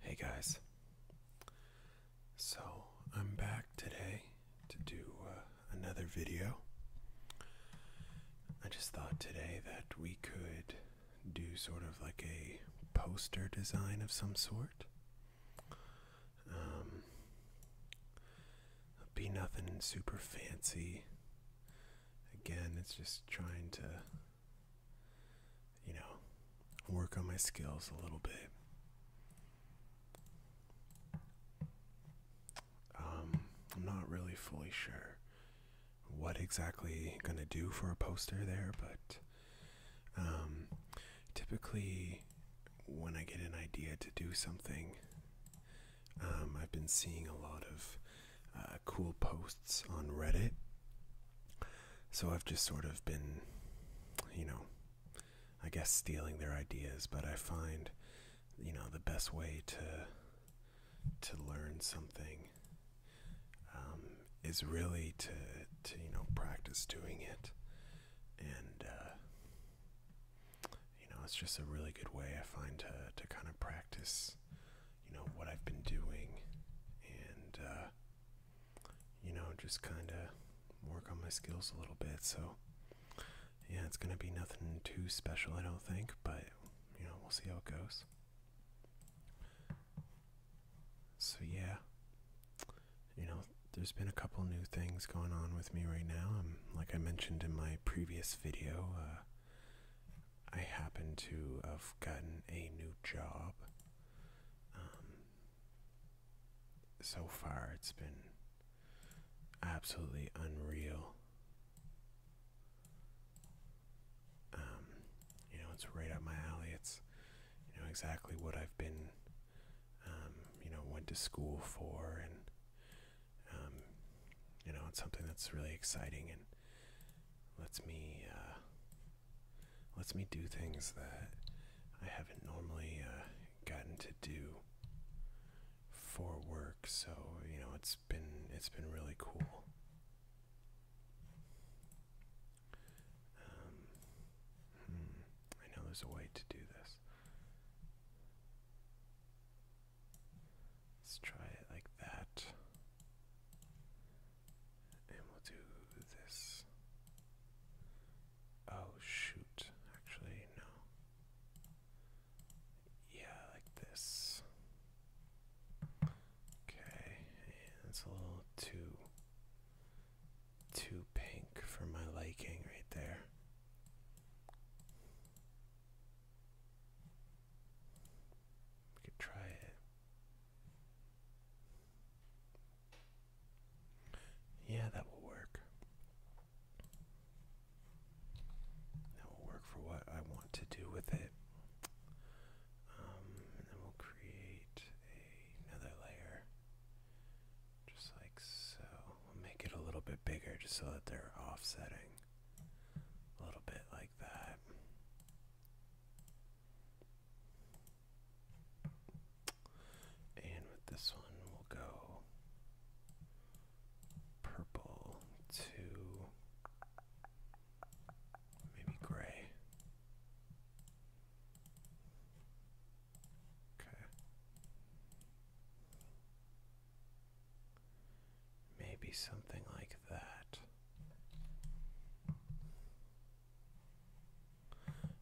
Hey guys. So I'm back today to do uh, another video. I just thought today that we could do sort of like a poster design of some sort. Um, be nothing super fancy. Again, it's just trying to you know, work on my skills a little bit. Um, I'm not really fully sure what exactly going to do for a poster there, but um, typically when I get an idea to do something, um, I've been seeing a lot of uh, cool posts on Reddit. So I've just sort of been, you know, I guess stealing their ideas, but I find, you know, the best way to to learn something um, is really to to you know practice doing it, and uh, you know it's just a really good way I find to to kind of practice you know what I've been doing and uh, you know just kind of work on my skills a little bit so yeah it's going to be nothing too special I don't think but you know we'll see how it goes so yeah you know there's been a couple new things going on with me right now I'm um, like I mentioned in my previous video uh, I happen to have gotten a new job. Um, so far, it's been absolutely unreal. Um, you know, it's right up my alley. It's, you know, exactly what I've been, um, you know, went to school for, and, you know, it's something that's really exciting and lets me uh, lets me do things that I haven't normally uh, gotten to do for work. So you know it's been it's been really cool. Um, hmm, I know there's a way to do this. Let's try it like that. And we'll do this. Oh, shoot. Actually, no. Yeah, like this. Okay, it's a little too too pink for my liking right there. We could try it yeah, that will work. That will work for what I want to do with it. Um, and then we'll create another layer. Just like so. We'll make it a little bit bigger just so that they're offsetting a little bit like like that. And with this one, we'll go purple to maybe gray. Okay. Maybe something like that.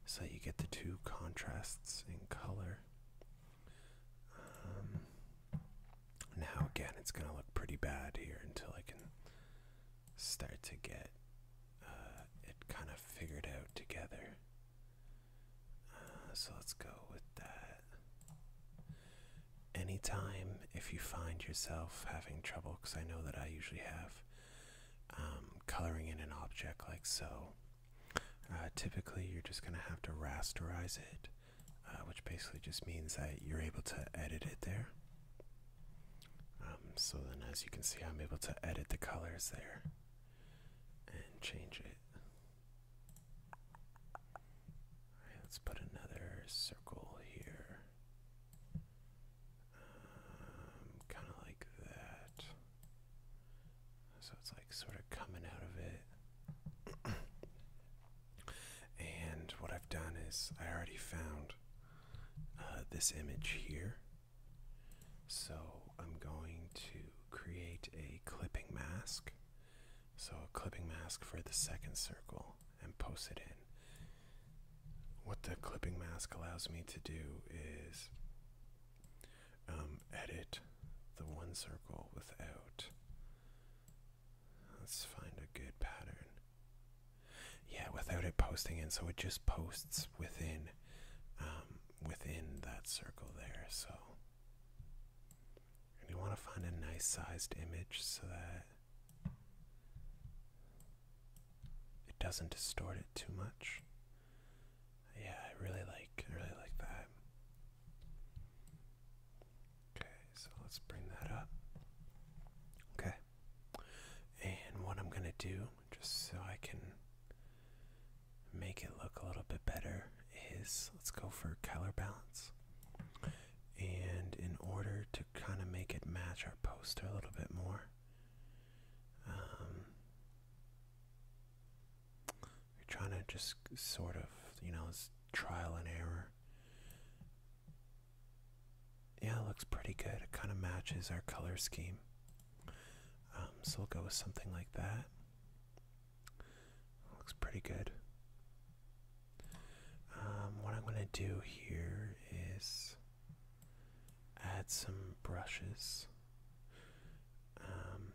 So you get the two contrasts in color. Um, now, again, it's going to look pretty bad here until I can start to get uh, it kind of figured out together. Uh, so let's go with that anytime if you find yourself having trouble, because I know that I usually have, um, coloring in an object like so, uh, typically you're just going to have to rasterize it, uh, which basically just means that you're able to edit it there. Um, so then, as you can see, I'm able to edit the colors there and change it let's put another circle here. Um, kind of like that. So it's like sort of coming out of it. and what I've done is I already found uh, this image here. So I'm going to create a clipping mask. So a clipping mask for the second circle and post it in. What the clipping mask allows me to do is um, edit the one circle without. Let's find a good pattern. Yeah, without it posting in, so it just posts within um, within that circle there. So and you want to find a nice sized image so that it doesn't distort it too much. Yeah, I really like I really like that. Okay, so let's bring that up. Okay. And what I'm going to do just so I can make it look a little bit better is let's go for color balance and in order to kind of make it match our poster a little bit more, um, we're trying to just sort of, you know, it's trial and error. Yeah, looks pretty good. It kind of matches our color scheme. Um, so we'll go with something like that. Looks pretty good. Um, what I'm going to do here is add some brushes. Um,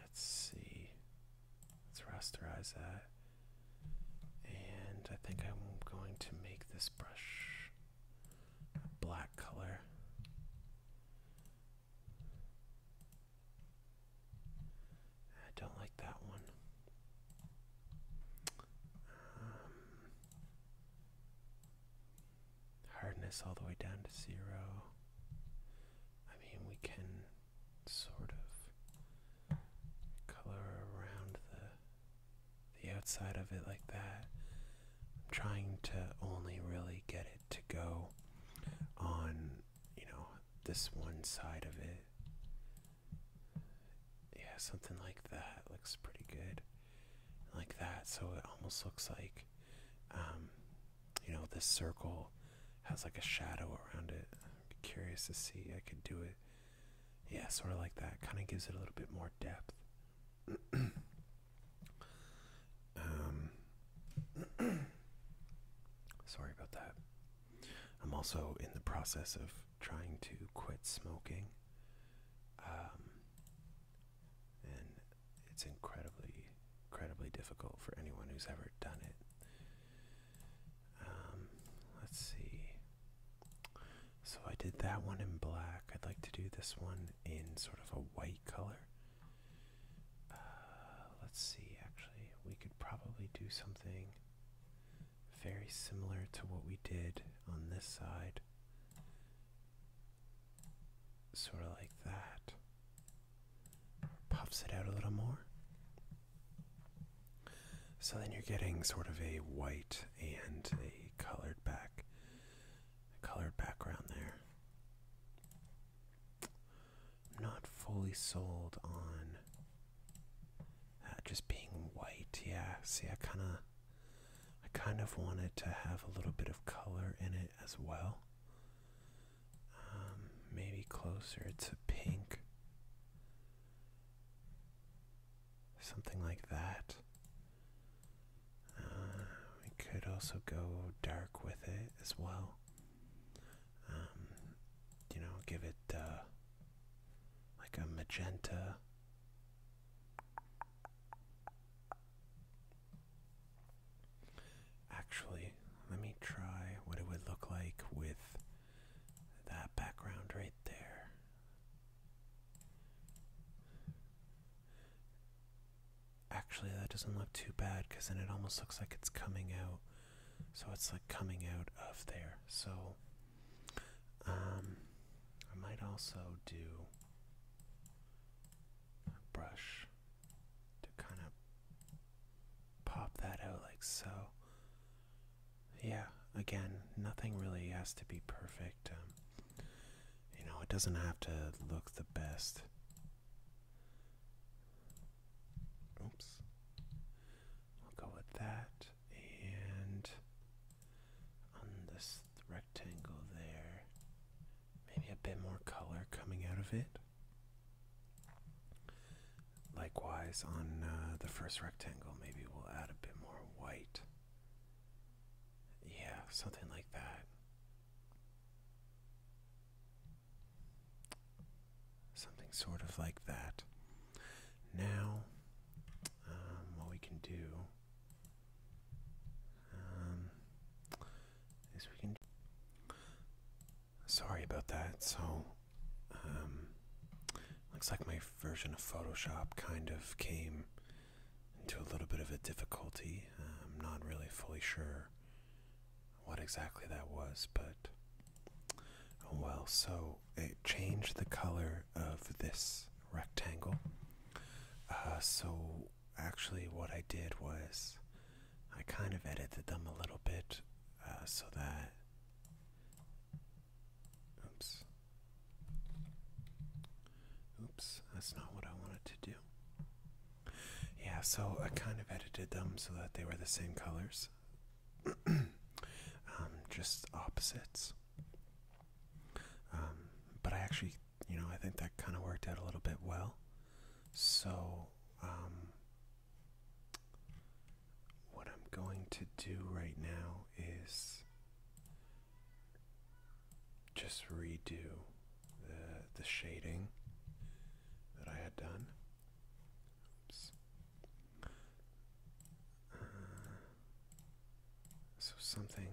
let's see. Let's rasterize that. And I think I'm going to make this brush a black color. I don't like that one. Um, hardness all the way down to zero. I mean, we can sort of color around the the outside of it like that. I'm trying to only really get it to go on, you know, this one side of it. Yeah, something like that looks pretty good. Like that, so it almost looks like, um, you know, this circle has like a shadow around it. curious to see. I could do it. Yeah, sort of like that. Kind of gives it a little bit more depth. Um, sorry about that. I'm also in the process of trying to quit smoking. Um, and it's incredibly, incredibly difficult for anyone who's ever done it. Um, let's see. So I did that one in black. I'd like to do this one in sort of a white color. Uh, let's see, actually, we could probably do something very similar to what we did on this side. Sort of like that. Puffs it out a little more. So then you're getting sort of a white and a colored back, colored background there not fully sold on uh, just being white. Yeah, see, I kind of, I kind of wanted to have a little bit of color in it as well. Um, maybe closer to pink, something like that. Uh, we could also go dark with it as well. Um, you know, give it uh, like a magenta. Actually, let me try what it would look like with that background right there actually that doesn't look too bad because then it almost looks like it's coming out so it's like coming out of there so um i might also do a brush to kind of pop that out like so yeah again nothing really has to be perfect um, you know it doesn't have to look the best Oops. I'll go with that. And on this rectangle there, maybe a bit more color coming out of it. Likewise, on uh, the first rectangle, maybe we'll add a bit more white. Yeah, something like that. Something sort of like that. Now, um, what we can do um, is we can. Sorry about that. So, um, looks like my version of Photoshop kind of came into a little bit of a difficulty. I'm not really fully sure what exactly that was, but oh well. So it changed the color of this rectangle. Uh, so actually, what I did was I kind of edited them a little bit uh, so that. Oops. Oops, that's not what I wanted to do. Yeah, so I kind of edited them so that they were the same colors, um, just opposites. Um, but I actually, you know, I think that kind of worked out a little bit well. So, um, what I'm going to do right now is just redo the, the shading that I had done. Uh, so something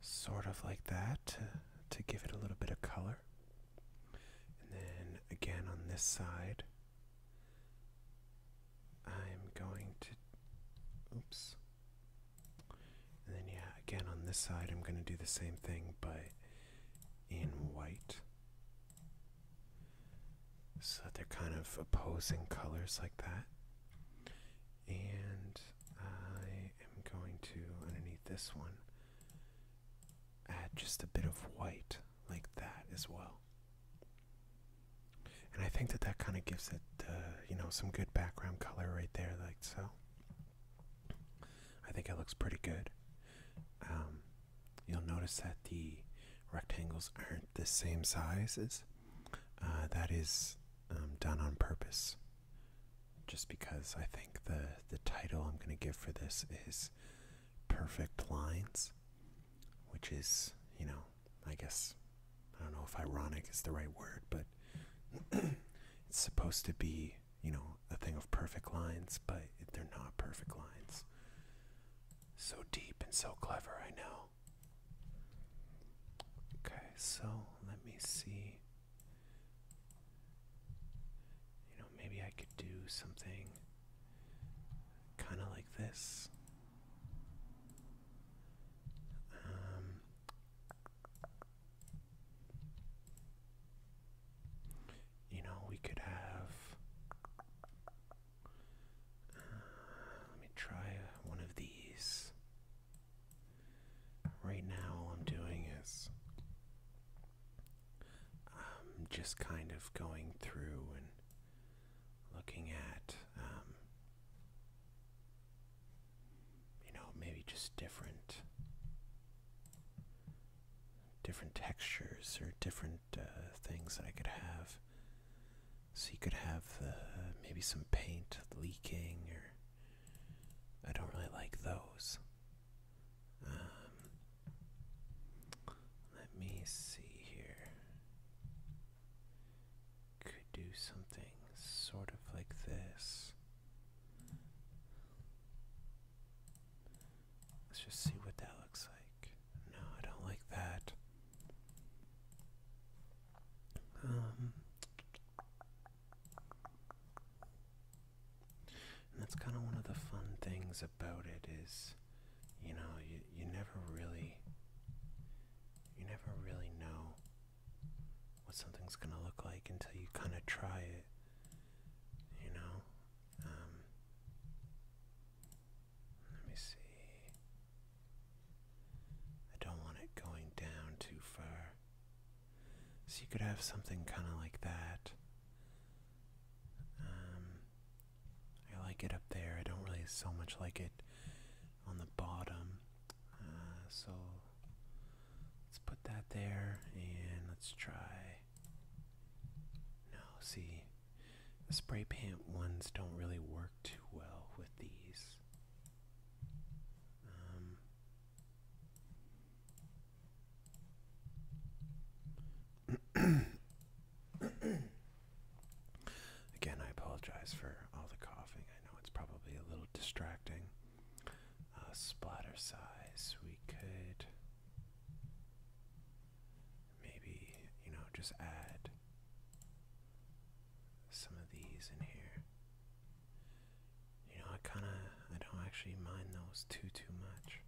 sort of like that to, to give it a little bit of color. And then again on this side, I'm going to, oops, and then, yeah, again on this side, I'm going to do the same thing, but in white. So they're kind of opposing colors like that. And I am going to, underneath this one, add just a bit of white like that as well. And I think that that kind of gives it, uh, you know, some good background color right there, like so. I think it looks pretty good. Um, you'll notice that the rectangles aren't the same sizes. Uh, that is um, done on purpose, just because I think the the title I'm going to give for this is "Perfect Lines," which is you know I guess I don't know if ironic is the right word, but it's supposed to be, you know, a thing of perfect lines, but they're not perfect lines. So deep and so clever, I know. Okay, so let me see. You know, maybe I could do something kind of like this. Um, you know, we could have. Uh, let me try uh, one of these. Right now, all I'm doing is. I'm um, just kind of going through and looking at um, you know, maybe just different different textures or different uh, things that I could have. So you could have uh, maybe some paint leaking or I don't really like those. Um, let me see here could do something sort of like this. Let's just see what that looks like. No, I don't like that. Um, and that's kind of one of the fun things about it is, you know, you you never really, you never really know what something's going to look like until you kind of try it, you know? Um, let me see. I don't want it going down too far. So you could have something kind of like that. Um, I like it up there. I don't really so much like it on the bottom. Uh, so Let's put that there and let's try. No, see, the spray paint ones don't really work too well with these. Um, Again, I apologize for all the coughing. I know it's probably a little distracting. A splatter size, we could maybe, you know, just add some of these in here. You know, I kind of, I don't actually mind those too, too much.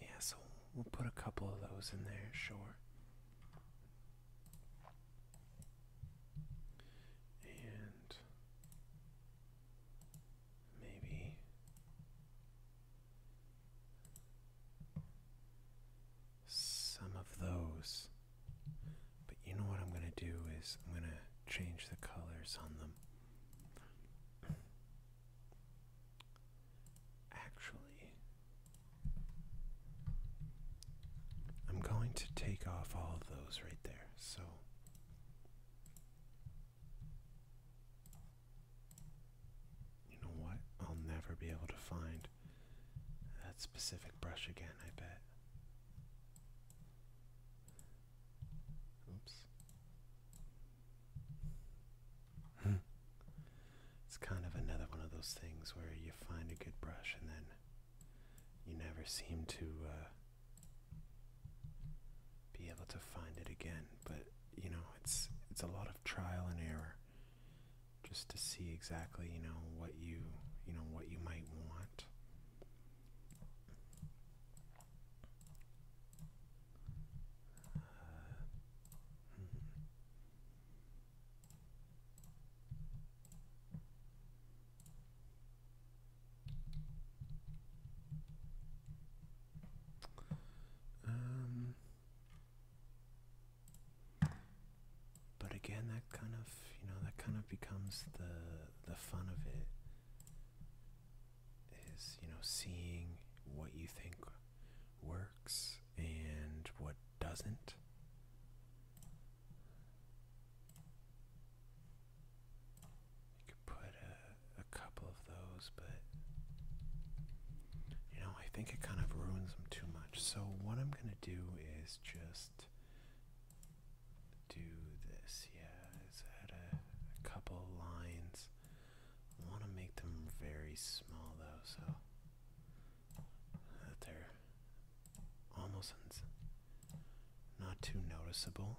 Yeah, so we'll put a couple of those in there, sure. And maybe some of those. But you know what I'm going to do is I'm going to change the colors on them. Actually, I'm going to take off all of those right there. So you know what? I'll never be able to find that specific brush again, I bet. Oops it's kind of another one of those things where you find a good brush and then you never seem to uh, be able to find it again. But you know, it's it's a lot of trial and error just to see exactly you know what you you know what you might want but again, that kind of you know that kind of becomes the the fun of it is you know seeing what you think works and what doesn't you could put a, a couple of those but you know i think it kind of ruins them too much so what i'm going to do is just do this yeah is that a couple lines I want to make them very small though, so that they're almost not too noticeable.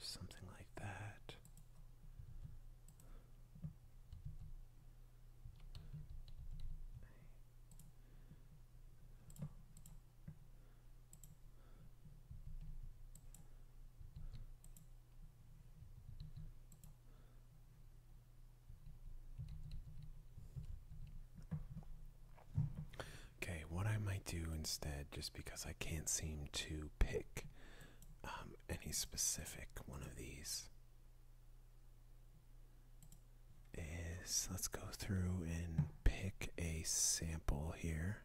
Something like that. Okay, what I might do instead, just because I can't seem to pick um, any specific one of these, is let's go through and pick a sample here.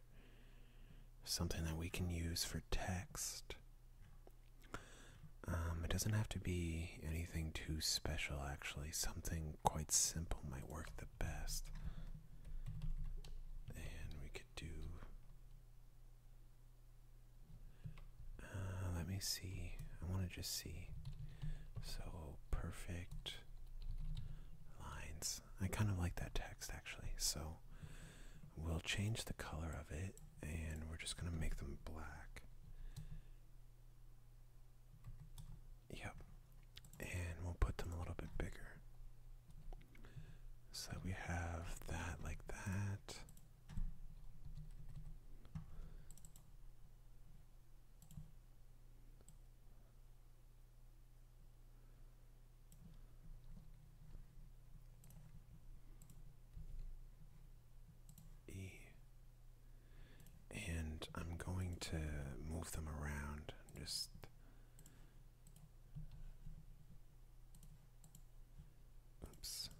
Something that we can use for text. Um, it doesn't have to be anything too special, actually. Something quite simple might work the best. And we could do. Uh, let me see. I want to just see. So perfect lines. I kind of like that text actually, so we'll change the color of it and we're just going to make them black. Yep. And we'll put them a little bit bigger. So we have that like that. E. And I'm going to move them around just oops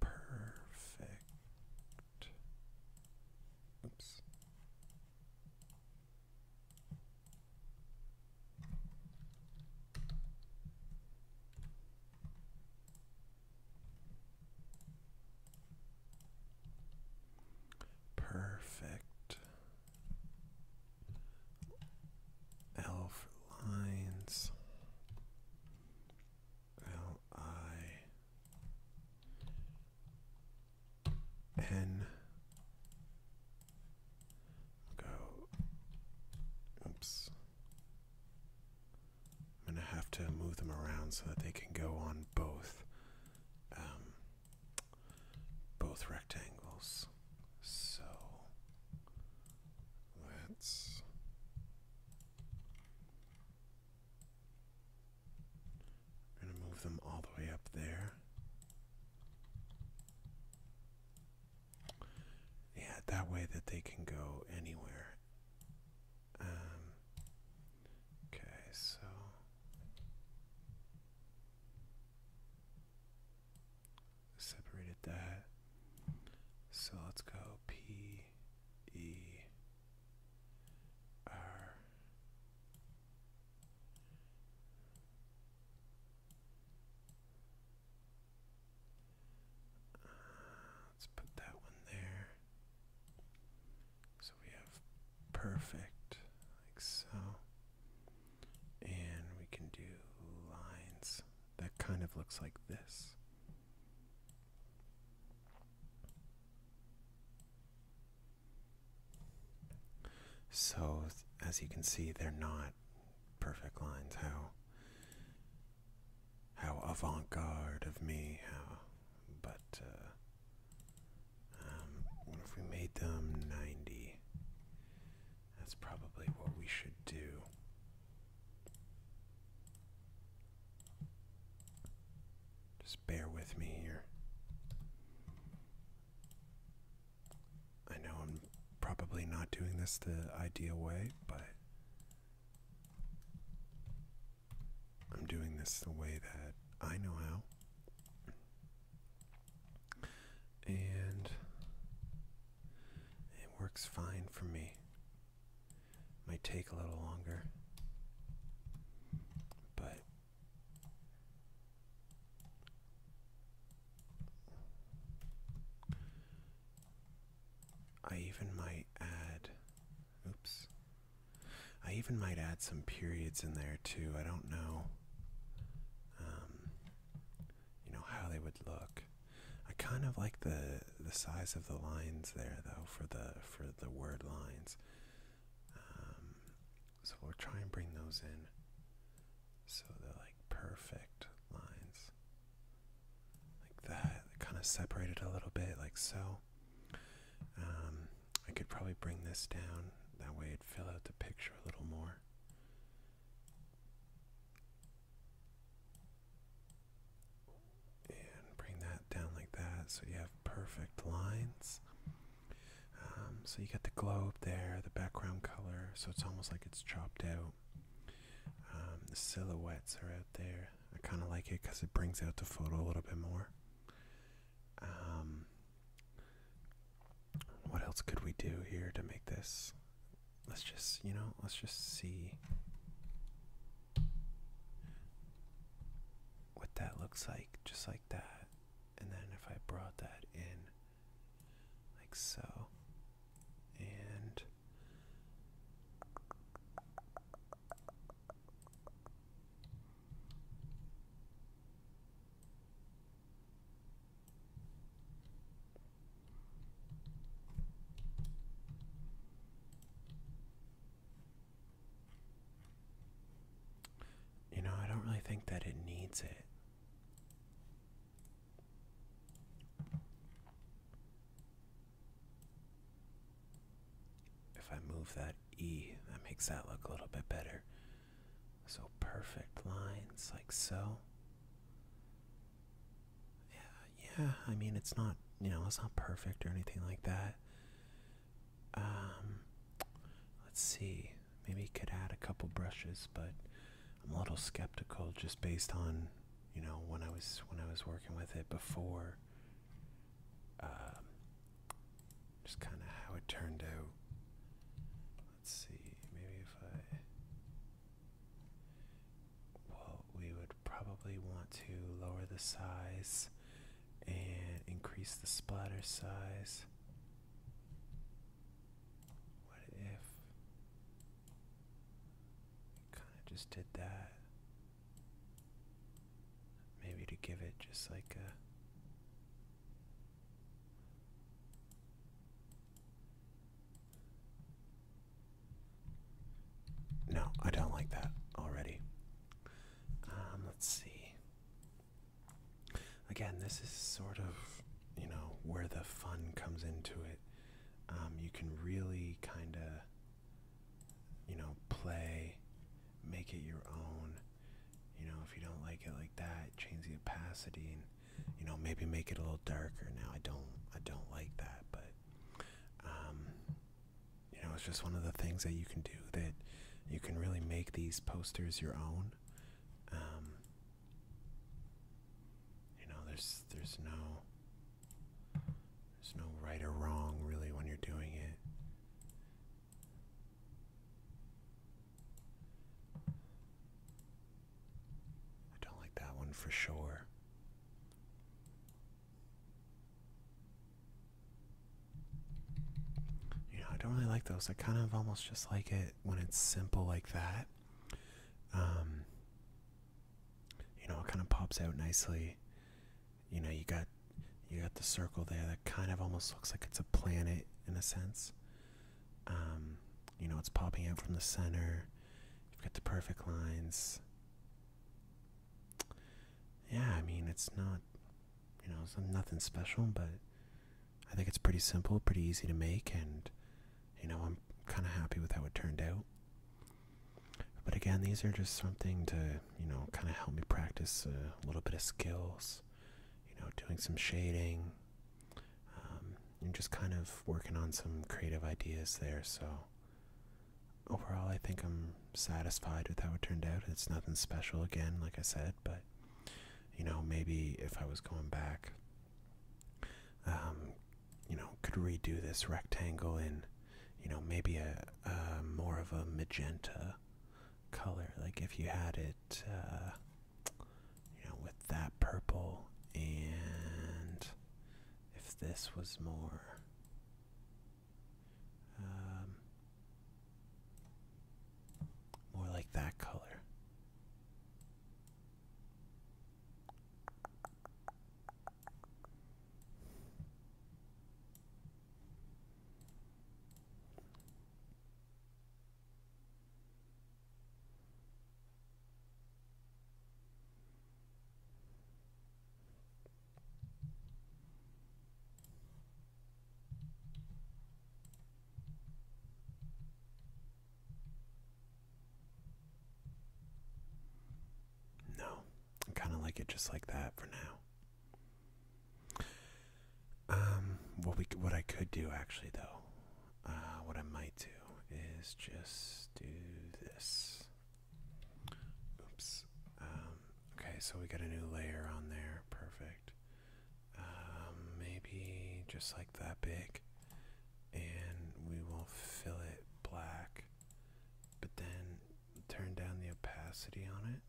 Perfect. Oops. Perfect. L for lines. L I N. Go. Oops. I'm gonna have to move them around so that they can go on both. Um, both rectangles. So let's I'm going to move them all the way up there. Yeah, that way that they can go anywhere. Um, okay, so separated that. So let's go P E R let's put that one there. So we have perfect like so and we can do lines that kind of looks like this. So, as you can see, they're not perfect lines. How how avant-garde of me. How, but uh, um, what if we made them ninety? That's probably what we should do. Just bear with me here. I know I'm probably not doing this the ideal way, but I'm doing this the way that I know how and it works fine for me. Might take a little longer, but I even might add, oops, I even might add some periods in there too. I don't know. Um, you know how they would look. I kind of like the the size of the lines there though for the for the word lines. Um, so we'll try and bring those in so they're like perfect lines like that kind of separated a little bit like so um, I could probably bring this down that way it'd fill out the picture a little more and bring that down like that so you have perfect lines. Um, so you got the globe there, the background color, so it's almost like it's chopped out. Um, the silhouettes are out there. I kind of like it because it brings out the photo a little bit more. Um, what else could we do here to make this? Let's just, you know, let's just see what that looks like, just like that. And then if I brought that in, like so, and you know, I don't really think that it needs it. If I move that E, that makes that look a little bit better. So perfect lines, like so. Yeah, yeah, I mean, it's not, you know, it's not perfect or anything like that. Um, let's see, maybe you could add a couple brushes, but I'm a little skeptical just based on, you know, when I was, when I was working with it before. Um, just kind of how it turned out. Let's see, maybe if I. Well, we would probably want to lower the size and increase the splatter size. What if we kind of just did that? Maybe to give it just like a no, I don't like that already. Um, let's see. Again, this is sort of, you know, where the fun comes into it. Um, you can really kind of, you know, play, make it your own you know, if you don't like it like that, change the opacity and you know maybe make it a little darker. Now I don't, I don't like that, but um, you know it's just one of the things that you can do that you can really make these posters your own. Um, you know, there's there's no there's no right or wrong really when you're doing it. I don't like that one for sure. You know, I don't really like those. I kind of almost just like it when it's simple like that. Um, you know, it kind of pops out nicely. You know, you got you got the circle there that kind of almost looks like it's a planet in a sense. Um, you know, it's popping out from the center. You've got the perfect lines. Yeah, I mean, it's not, you know, nothing special, but I think it's pretty simple, pretty easy to make, and, you know, I'm kind of happy with how it turned out. But again, these are just something to, you know, kind of help me practice a little bit of skills, you know, doing some shading, um, and just kind of working on some creative ideas there. So overall, I think I'm satisfied with how it turned out. It's nothing special again, like I said, but you know, maybe if I was going back, um, you know, could redo this rectangle in, you know, maybe a more of a magenta color. Like if you had it, uh, you know, with that purple, and if this was more. Um, more like that color. No, I kind of like it just like that for now. Um, what we what I could do actually though, uh, what I might do is just do this. Oops. Um, okay, so we got a new layer on there. Perfect. Um, maybe just like that big, and we will fill it black, but then turn down the opacity on it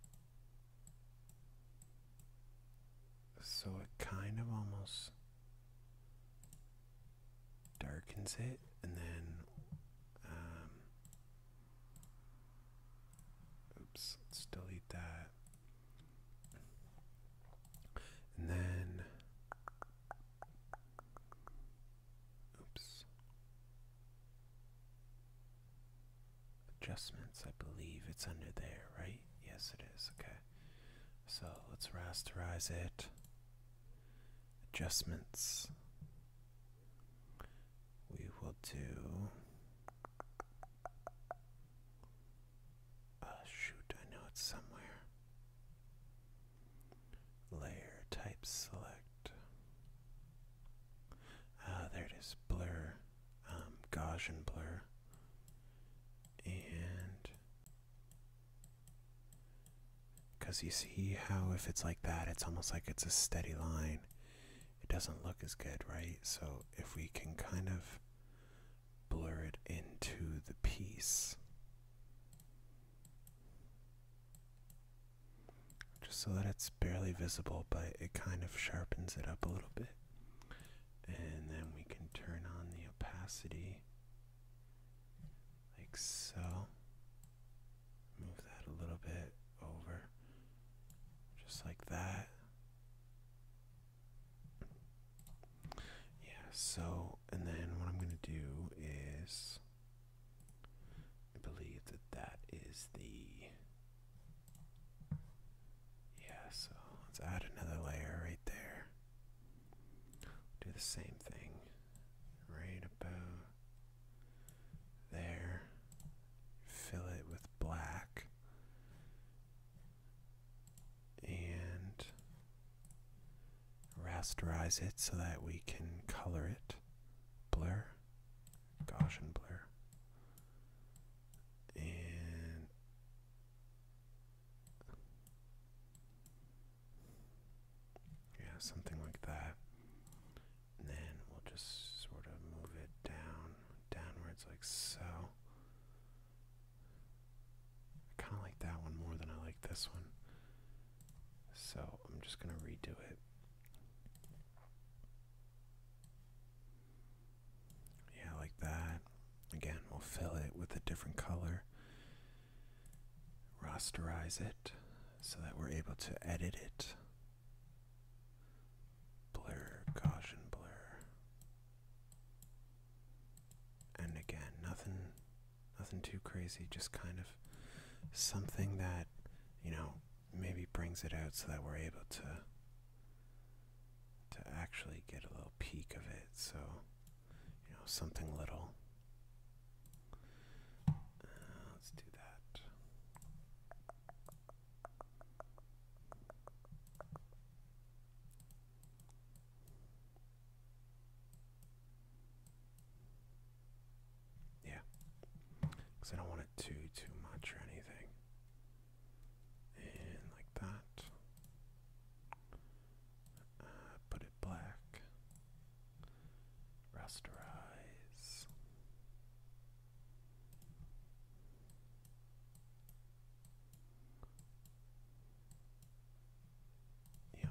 so it kind of almost darkens it and then um, oops delete that and then oops adjustments. I believe it's under there, right? Yes, it is. Okay. So let's rasterize it. Adjustments. We will do. Uh, shoot, I know it's somewhere. Layer type select. Ah, there it is. Blur. Um, Gaussian blur, and because you see how if it's like that, it's almost like it's a steady line. It doesn't look as good, right? So if we can kind of blur it into the piece. Just so that it's barely visible, but it kind of sharpens it up a little bit. And then we can turn on the opacity like so. Move that a little bit over, just like that. Yeah, so, and then what I'm going to do is, I believe that that is the yeah, so let's add another layer right there. Do the same thing right about there. Fill it with black. And rasterize it so that we can color it, blur, Gaussian blur, And yeah, something like that. then we'll just sort of move it down, downwards like so. I kind of like that one more than I like this one. So I'm just going to redo it. Yeah, like that. Again, we'll fill it with a different color, rasterize it so that we're able to edit it. Blur, Gaussian blur. And again, nothing nothing too crazy, just kind of something that, you know, maybe brings it out so that we're able to to actually get a little peek of it so you know something little uh, let's do that yeah because I don't want it too too much or anything and like that. Uh, put it black. Rasterize. Yeah.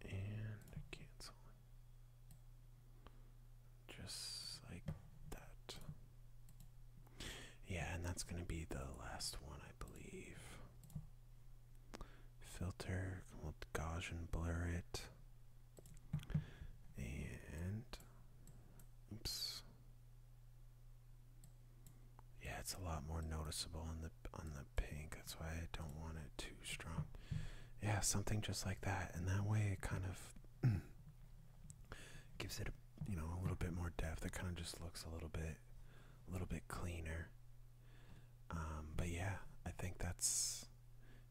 And cancel just like that. Yeah, and that's going to be the last one, I believe. Filter, Gaussian blur it. And, oops. Yeah, it's a lot more noticeable on the on the pink. That's why I don't want it too strong. Yeah, something just like that, and that way it kind of gives it a, you know a little bit more depth. It kind of just looks a little bit a little bit cleaner. Um, but yeah, I think that's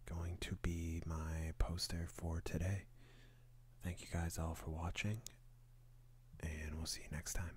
going to be my poster for today. Thank you guys all for watching, and we'll see you next time.